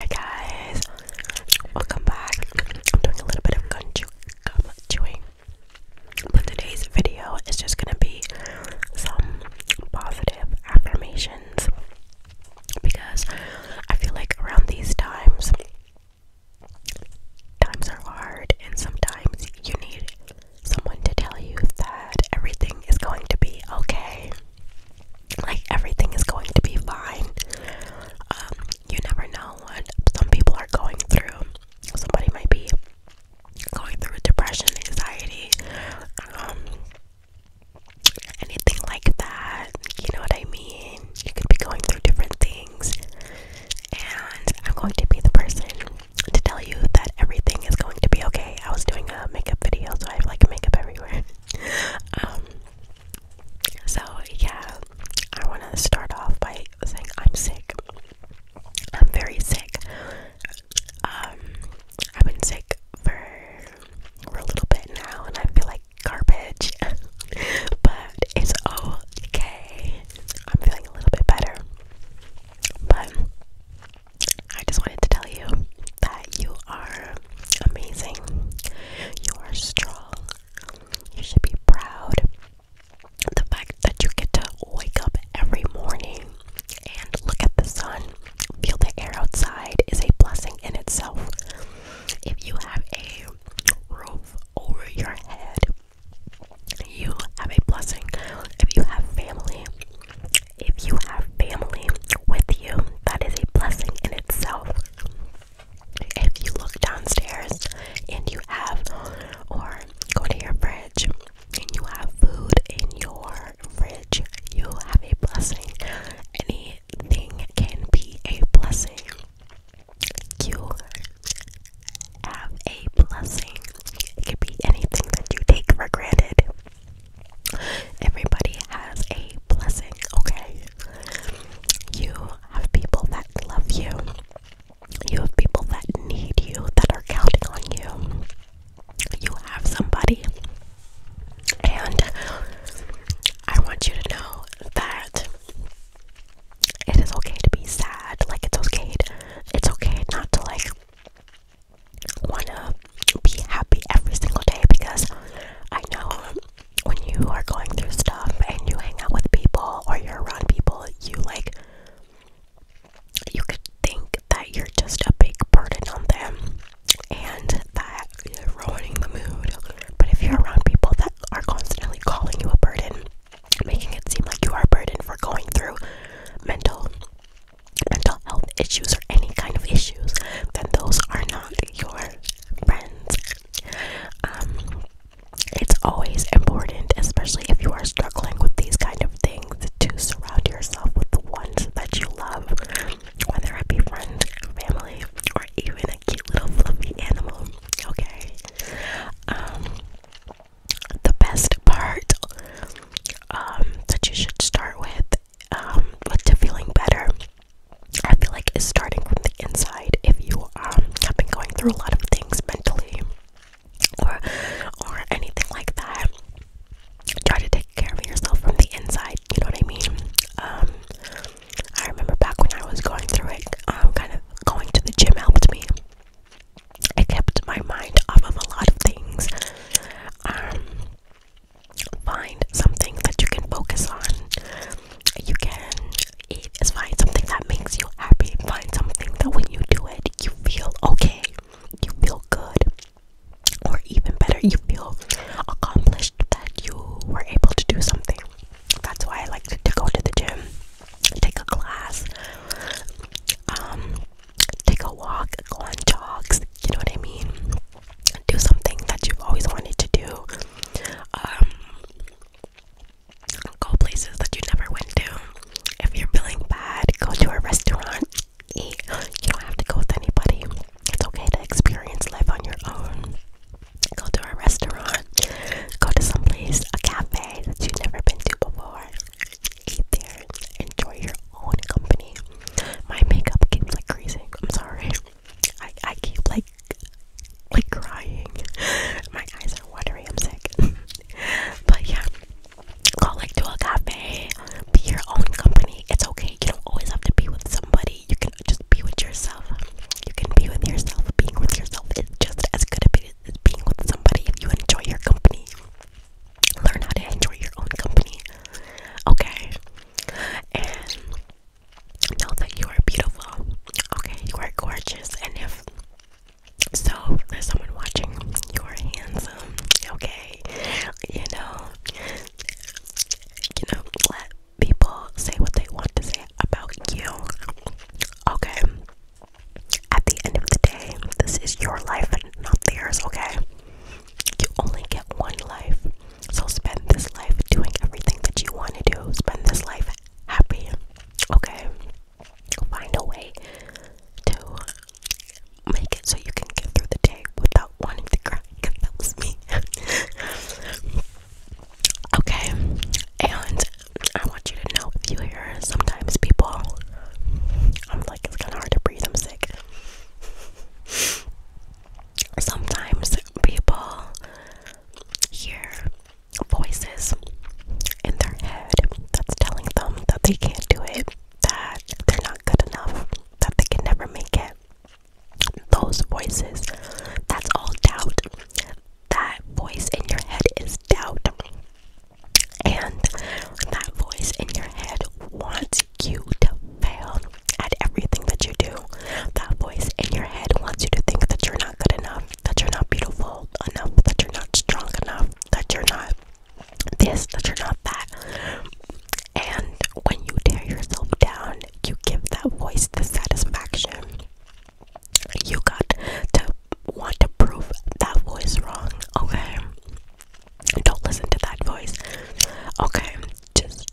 Hi guys, welcome back. I'm doing a little bit of gun chew gum chewing, but today's video is just gonna be some positive affirmations because I feel like around these times, times are hard, and sometimes you need someone to tell you that everything is going to be okay like everything is going to be fine. Um, you never know what some people are going through. Somebody might be going through depression, anxiety, um, anything like that. You know what I mean? You could be going through different things, and I'm going to be the person to tell you that everything is going to be okay. I was doing a makeup video, so I have like makeup everywhere. um, so, yeah, I want to start off by saying I'm sick. I'm very sick. Um, I've been sick for, a little bit now, and I feel like garbage, but it's okay. I'm feeling a little bit better. But I just wanted to tell you that you are amazing. You are strong. You should be proud. The fact that you get to wake up every morning and look at the sun, feel the air outside is a blessing in itself. If you have a roof over your head, you have a blessing. If you have family, if you have family with you, that is a blessing in itself if you look downstairs and you have, or go to your fridge and you have food in your fridge, you have a blessing. Anything can be a blessing. You have a blessing. It can be anything that you take for granted. Everybody has a blessing, okay? You have people that love you, you have people that need you, that are counting on you. You have somebody, and I want you to know that it is okay to be sad. Like it's okay, it's okay not to like want to be happy every single day because I know when you are going through stuff and you hang out with people or you're around people, you like you could think that you're just a big burden on them and that you're ruining the mood. But if you're around people that are constantly calling you a burden, making it seem like you are a burden for going through mental mental health issues or any kind of issues, then those are not your friends. Um, it's always important, especially if you are struggling with these kind of things, to surround yourself with the ones that you love, whether it be friends, family, or even a cute little fluffy animal. Okay. Um, the best part um, that you should start with um, to feeling better. I feel like it's starting from the inside. If you um, have been going through a lot of things mentally or or anything like that, try to take care of yourself from the inside. You know what I mean? Um, I remember back when I was going through it, um, kind of going to the gym helped me. It kept my mind off of a lot of things. Um, find something that you can focus on. You can eat is find something that makes you happy. Find something that when you do it, you feel okay, you feel good, or even better, you feel accomplished that you were able to do something. That's why I like to, go to the gym, take a class, um, take a walk, go on jogs. You know what I mean? do something that you've always wanted to do. Um, go places that you never went to. If you're feeling bad, go to a restaurant. Eat. You don't have to go with anybody. It's okay to experience life on your own. Go to a restaurant. Go to some place, a cafe that you've never been to before. Eat there. Enjoy your own company. My makeup keeps like crazy. I'm sorry. I I keep like like crying. My eyes are watering. I'm sick. but yeah, call like to a cafe. Be your own company. It's okay. You don't always have to be with somebody. You can just be with yourself. You can be with yourself. Being with yourself is just as good a bit as being with somebody. If you enjoy your company, learn how to enjoy your own company. Okay. And know that you are beautiful. Okay, you are gorgeous, and if so, there's someone watching. You are handsome. Okay, you know, you know, let people say what they want to say about you. Okay. At the end of the day, this is your life and not theirs, okay? you only get one life. So spend this life doing everything that you want to do. Spend this life happy. Okay? Find a way to make it so you can get through the day without wanting to cry. that was me. okay? And I want you to know if you hear sometimes people, I'm like, it's kind of hard to breathe, I'm sick sometimes people hear voices in their head that's telling them that they can't do it, that they're not good enough, that they can never make it. Those voices, that's all doubt. That voice in your head is doubt. And that voice in your head wants you to fail at everything that you do. That voice in your head wants you to think that you're not good enough, that you're not beautiful enough, that you're not strong enough, that you're not this, that you're not that. And when you tear yourself down, you give that voice the satisfaction. You got to want to prove that voice wrong, okay? Don't listen to that voice, okay? Just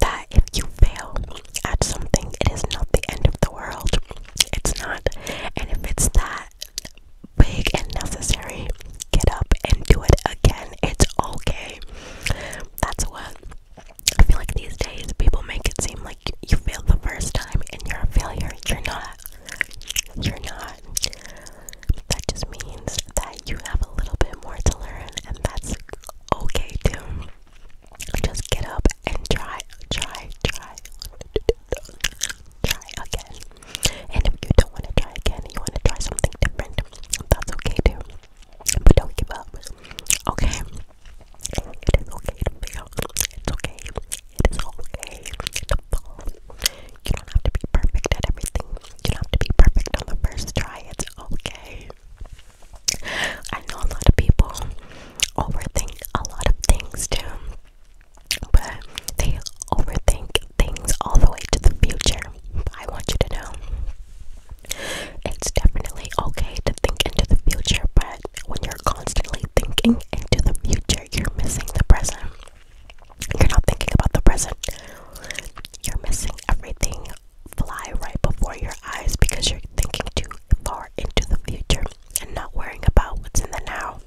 that if you fail at something, it is not the end of the world. It's not. And if it's that big and necessary, get up and do it again. It's okay. That's what I feel like these days people make it seem like you failed the first time and you're a failure. You're not. You're not. That just means that you have a little bit more to learn, and that's okay too just get up and try, try, try, try again. And if you don't want to try again, you want to try something different, that's okay too. But don't give up, okay? It is okay to fail, it's okay, it is okay to fall. You don't have to be perfect at everything, you don't have to be perfect on the first try, it's okay. I know a lot of people overthink a lot of things too, but they overthink things all the way to the future. I want you to know it's definitely okay to think into the future, but when you're constantly thinking into the future, you're missing the present. You're not thinking about the present. You're missing everything fly right before your eyes because you're thinking too far into the future and not worrying about what's in the now.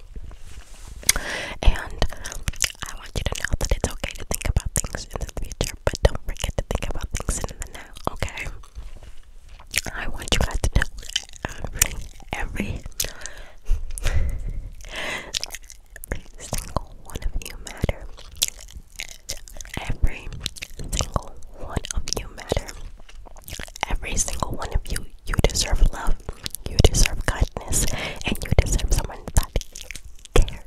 And I want you to know that it's okay to think about things in the future, but don't forget to think about things in the now, okay? I want you guys to know every, every, single one of you matter. Every single one of you matter. Every single one of you, you deserve love, you deserve kindness, and you deserve someone that cares.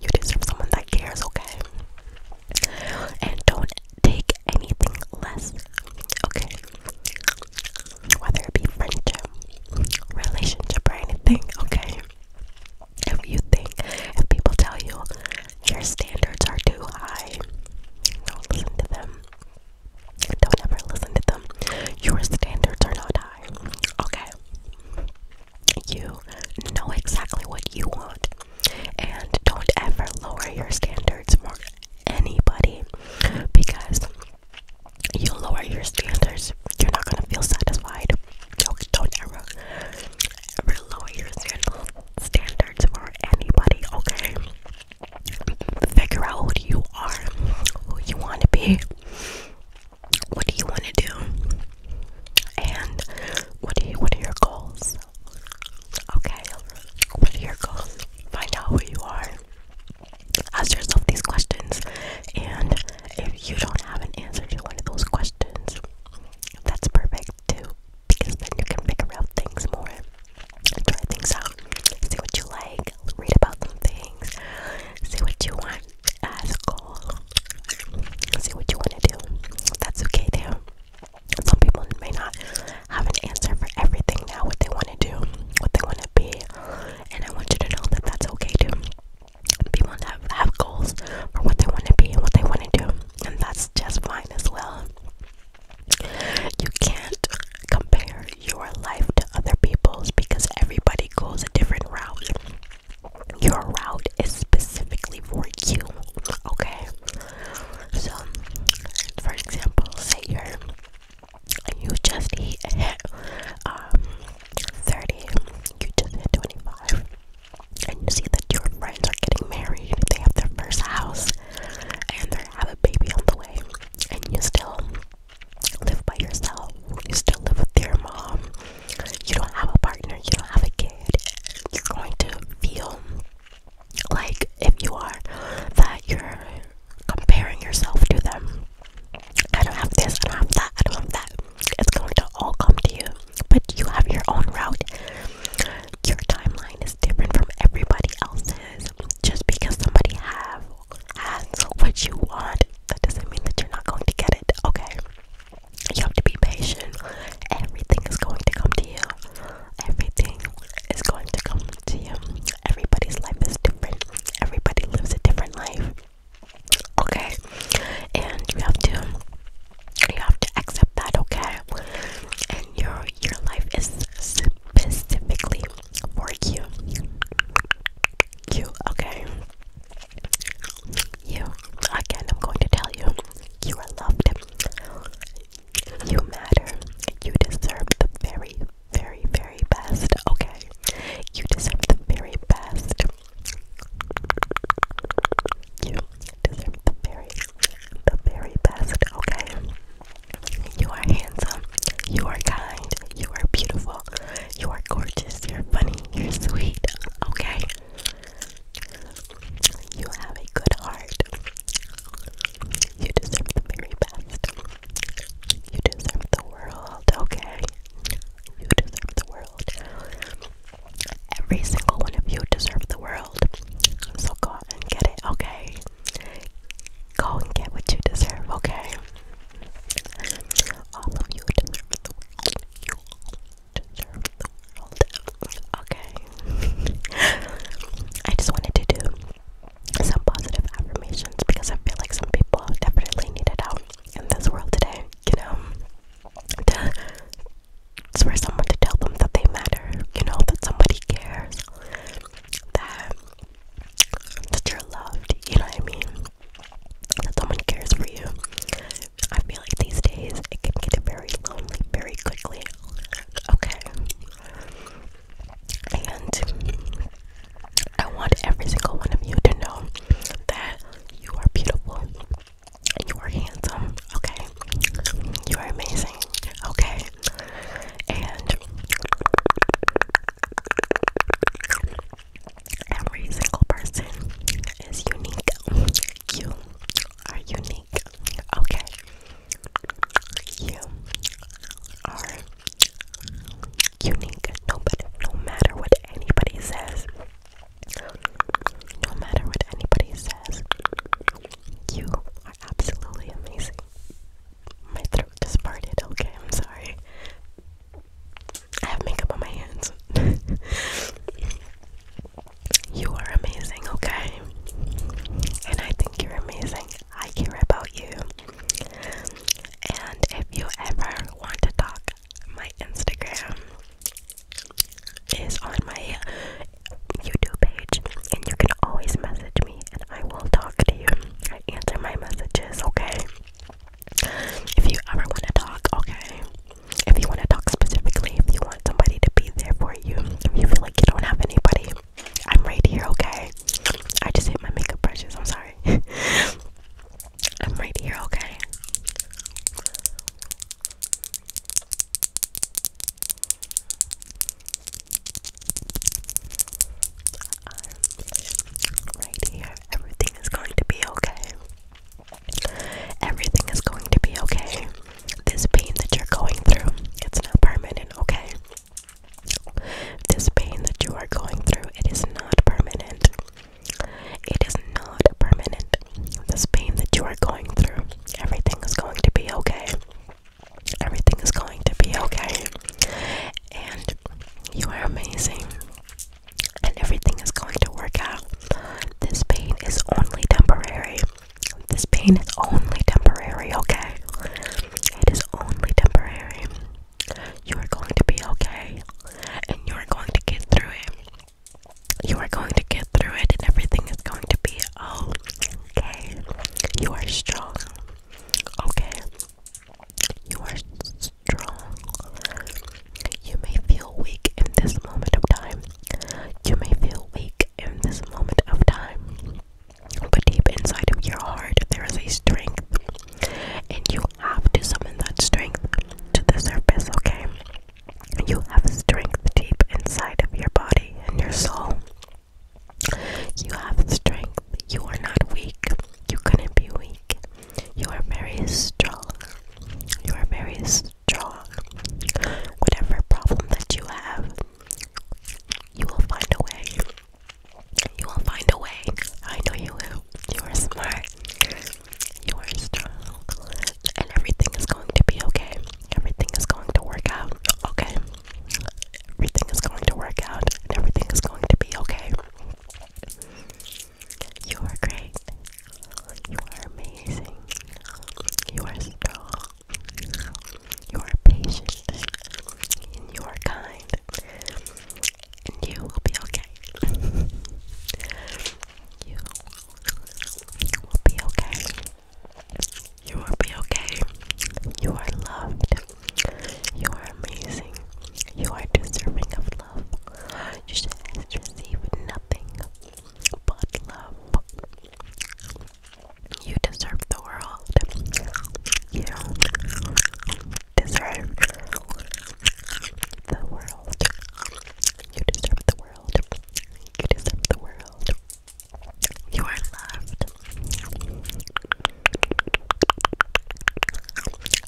You deserve someone that cares, okay? And don't take anything less, okay? Whether it be friendship, relationship, or anything, okay? If you think, if people tell you your standards are too high, don't listen to them. Don't ever listen to them. Your standards are not high. Okay. You know exactly what you want. And don't ever lower your standards for anybody because you lower your standards, you're not going to feel satisfied don't ever, lower your standards for anybody, okay? Figure out what you are, who you want to be, what do you want to do, and what are, what are your goals, okay? What are your goals? Find out who you are. Ask yourself these questions, and if you don't have an answer to one of those questions, that's perfect too, because then you can figure out things more, try things out, see what you like, read about some things, see what you want as a goal, see what you want to do. That's okay too. Some people may not have an answer for everything now, what they want to do, what they want to be, and I want you to know that that's okay too people have, have goals for what they want to be and what they want to do, and that's just fine as well. You can't compare your life to other people's because everybody goes a different route. Your route is specifically for you, okay? So, for example, say you're you just hit, hit um 30, you just hit 25 and you see that your friends are getting married, they have their first house, and they have a baby on the way, and you still live by yourself, you still live with your mom, you don't have a partner, you don't have a kid, you're going to feel like if you are that you're comparing yourself to them. I don't have this, I don't have that, I don't have that. It's going to all come to you but you have your own route. Your timeline is different from everybody else's. Just because somebody have has what you want, that doesn't mean that you're not going to get it. Okay. You have to be patient. Everything is going to come to you. Everything is going to come to you. Everybody's life is different. Everybody lives a different life okay and you have to you have to accept that okay and your your life is specifically for you you okay you again i'm going to tell you you are loved you matter you deserve the very very very best okay you deserve the very best you deserve the very, the very best, okay? You are handsome, you are kind, you are beautiful, you are gorgeous, you're funny, you're sweet, okay? You have a good heart. You deserve the very best. You deserve the world, okay? You deserve the world. Every single one of you deserve the world. So go and get it, okay? Go and get what you deserve, okay? All of you deserve the world. You deserve the world. Okay. I just wanted to do some positive affirmations because I feel like some people definitely need it out in this world today, you know? to for someone to tell them that they matter, you know, that somebody cares, that that you're loved, you know what I mean? That someone cares for you. I feel like these days it can get very lonely very quickly. Okay. And I want every single one of you to know that you are beautiful. You are handsome, okay? You are amazing, okay? And every single person is unique. You are unique, okay? You are unique. Nobody, no matter what anybody says, no matter what anybody says, you are absolutely amazing. My throat just parted, okay, I'm sorry. I have makeup on my hands. you are amazing, okay? And I think you're amazing. I care about you. And if you ever want to talk, my Instagram is on my YouTube page, and you can always message me, and I will talk to you. I answer my messages, okay? If you ever want to talk, okay? If you want to talk specifically, if you want somebody to be there for you, if you feel like you don't have anybody, I'm right here, okay? I just hit my makeup brushes, I'm sorry. I'm right here, okay? I'm right here. Everything is going to be okay. Everything is going to be okay. This pain that you're going through, it's not permanent, okay? This pain that you are going through, it is not permanent. It is not permanent. This pain that you are going through, everything is going to be okay. Everything is going to be okay. And you are amazing. And everything is going to work out. This pain is only temporary. This pain is only temporary, okay? It is only temporary. You are going to be okay. And you are going to get through it. You are going to get through it, and everything is going to be okay. You are strong, okay? You are strong. You may feel weak in this moment of time. You may feel weak in this moment of time. But deep inside of your heart, there is a strength, and you have to summon that strength to the surface, okay? You have a strength deep inside of your body and your soul. You have strength. You are not weak. You couldn't be weak. You are very strong. You are very strong. Whatever problem that you have, you will find a way. You will find a way. I know you will. You are smart. You are strong. And everything is going to be okay. Everything is going to work out. Okay. Everything is going to work out. And everything is going to be okay. You are great. You are amazing. You are strong. You are patient. And you are kind. And you will be okay. You will be okay. You will be okay. You are loved. You are amazing. You are deserving of love. You should receive nothing but love. You deserve the world. You deserve the world. You deserve the world. You deserve the world. You are loved.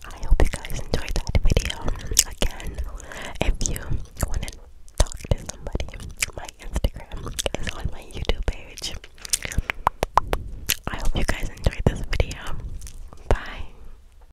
I hope you guys enjoyed that video. Again, if you want to talk to somebody, my Instagram is on my YouTube page. I hope you guys enjoyed this video. Bye.